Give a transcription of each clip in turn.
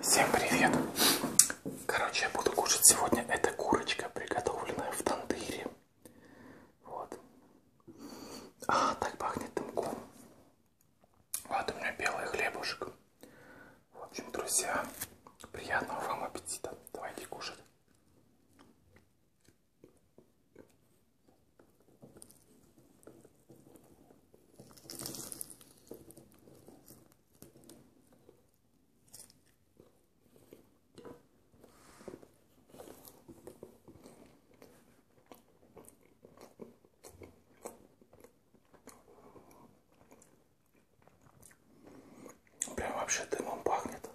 Всем привет! Короче, я буду кушать сегодня эта курочка, приготовленная в тандыре. Вот. А, так пахнет дымком. Вот у меня белый хлебушек. В общем, друзья, приятного вам аппетита. Давайте кушать. Прям вообще дымом пахнет.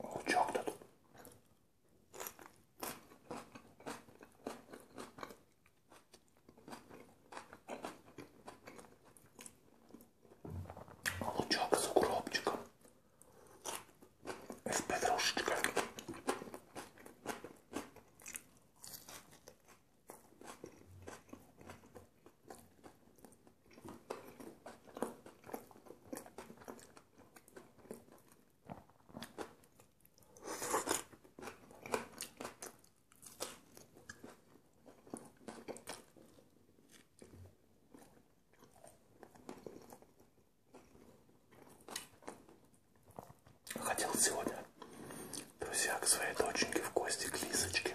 Лучок тут лучок с укропчиком, с петрушечкой. Хотел сегодня, друзья, к своей доченьке в гости, к Лисочке.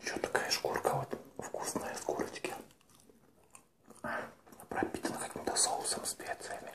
Еще такая шкурка вот вкусная с курочки. Пропитана каким-то соусом, специями.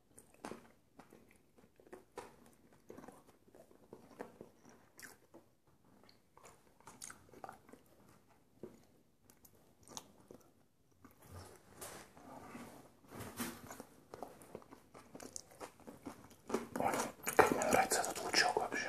Ой, как мне нравится этот лучок вообще.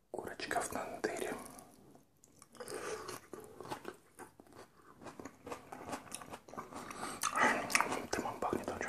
Курочка в тандыре. Дымом пахнет очень.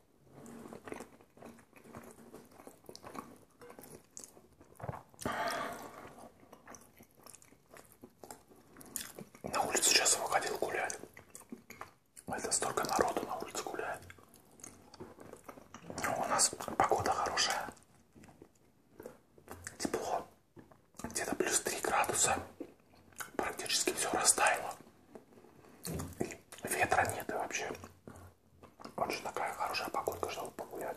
На улицу сейчас выходил гулять. Это столько народу на улице гуляет. Но ну, у нас погода хорошая. Тепло. Где-то плюс 3 градуса. Практически все растаяло. И ветра нет и вообще очень такая хорошая погодка, чтобы погулять.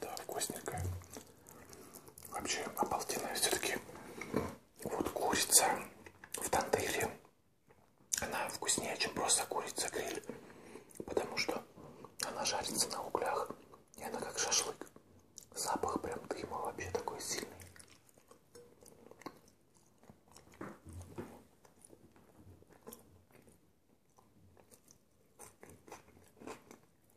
Да, вкусненькая. Вообще обалденная все-таки вот курица в тандыре. Она вкуснее, чем просто курица гриль. Потому что она жарится на углях. И она как шашлык. Запах прям дыма вообще такой сильный.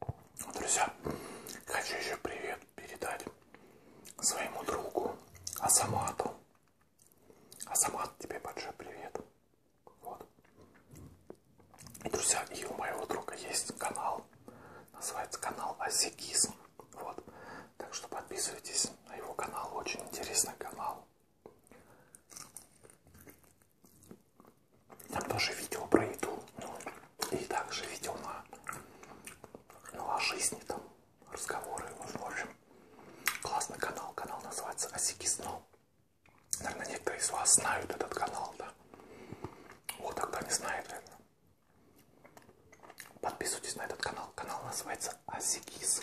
Ну, друзья, хочу еще привет передать своему другу Асамату. Асамат, тебе большой привет. Вот. И, друзья, и у моего друга есть канал. Называется канал Азикис. Вот. Так что подписывайтесь на его канал. Очень интересный канал. Там тоже видео про еду. Ну, и также видео на, ну, о жизни, там разговоры. Ну, в общем, классный канал. Канал называется Осики Сно. Наверное, некоторые из вас знают этот канал, да? Вот тогда не знает, наверное. Подписывайтесь на этот канал. Канал называется Асикис.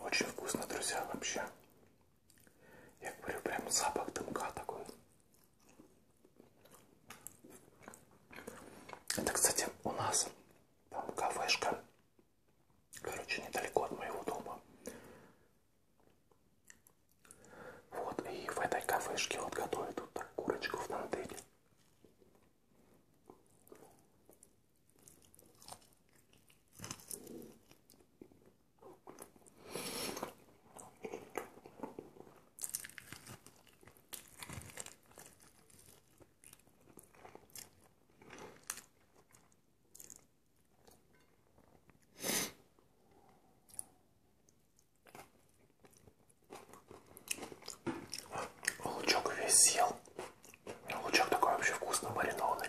Очень вкусно, друзья, вообще. Я говорю, прям запах дымка такой. Это, кстати, у нас там кафешка, короче, недалеко от моего дома. Вот, и в этой кафешке вот готовят вот так курочку в тандыре. Лучок весь съел. Лучок такой вообще вкусно маринованный.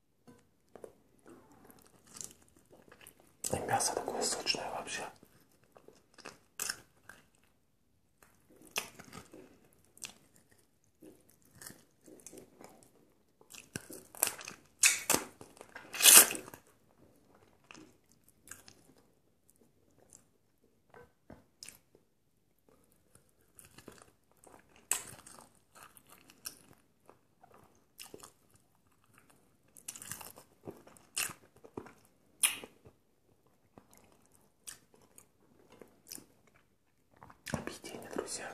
И мясо такое сочное вообще. Объедение, друзья.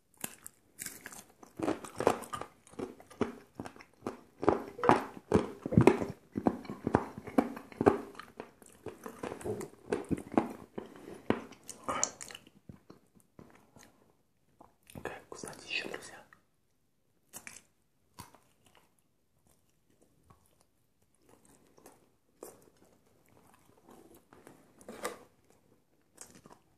Какая вкуснотища, друзья.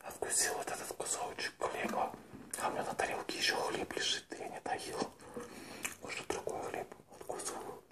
откусил вот этот кусочек хлеба, а у меня на тарелке еще хлеб лежит, я не доел. Может, другой хлеб откусываю.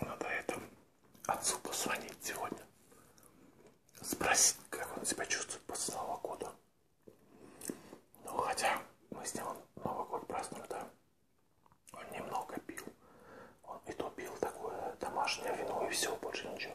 Надо это отцу позвонить сегодня. Спросить, как он себя чувствует после Нового года. Ну, хотя мы с ним Новый год празднуем, да. Он немного пил. Он и то пил такое домашнее вино, и все, больше ничего.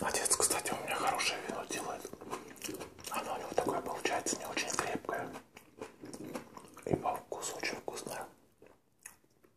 Отец, кстати, у меня хорошее вино делает. Оно у него такое получается не очень крепкое. И по вкусу очень вкусное.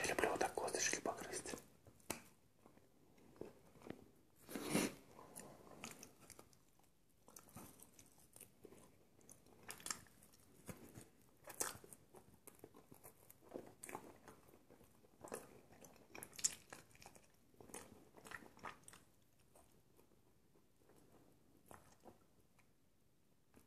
Я люблю вот так косточки погрызть.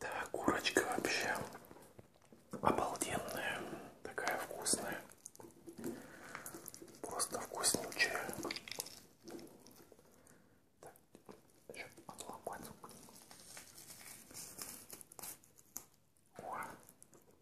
Да, курочка вообще обалденная, такая вкусная, просто вкуснючая. Так, еще отломать. О,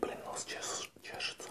Блин, нос чеш чешется.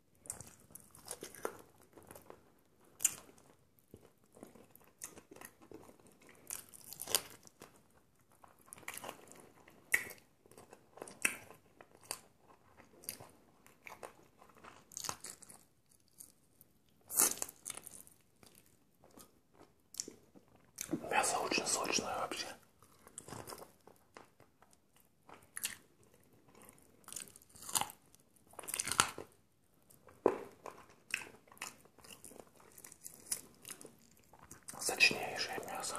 Мясо очень сочное вообще. Сочнейшее мясо.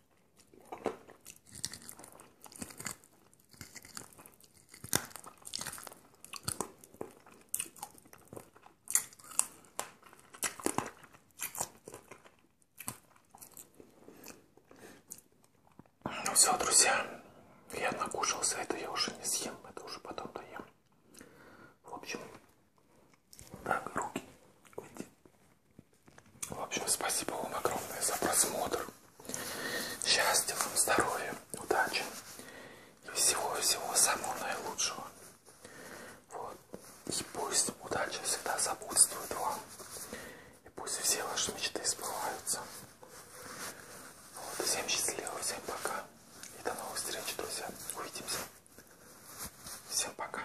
Ну все, друзья, я накушался, это я уже не съем, это уже потом доем. В общем, так, руки. В общем, спасибо вам огромное за просмотр. Счастья вам, здоровья, удачи и всего-всего самого наилучшего. Вот. И пусть удача всегда сопутствует вам. И пусть все ваши мечты сбываются. Вот. Всем счастливо, всем пока. И до новых встреч, друзья. Увидимся. Всем пока.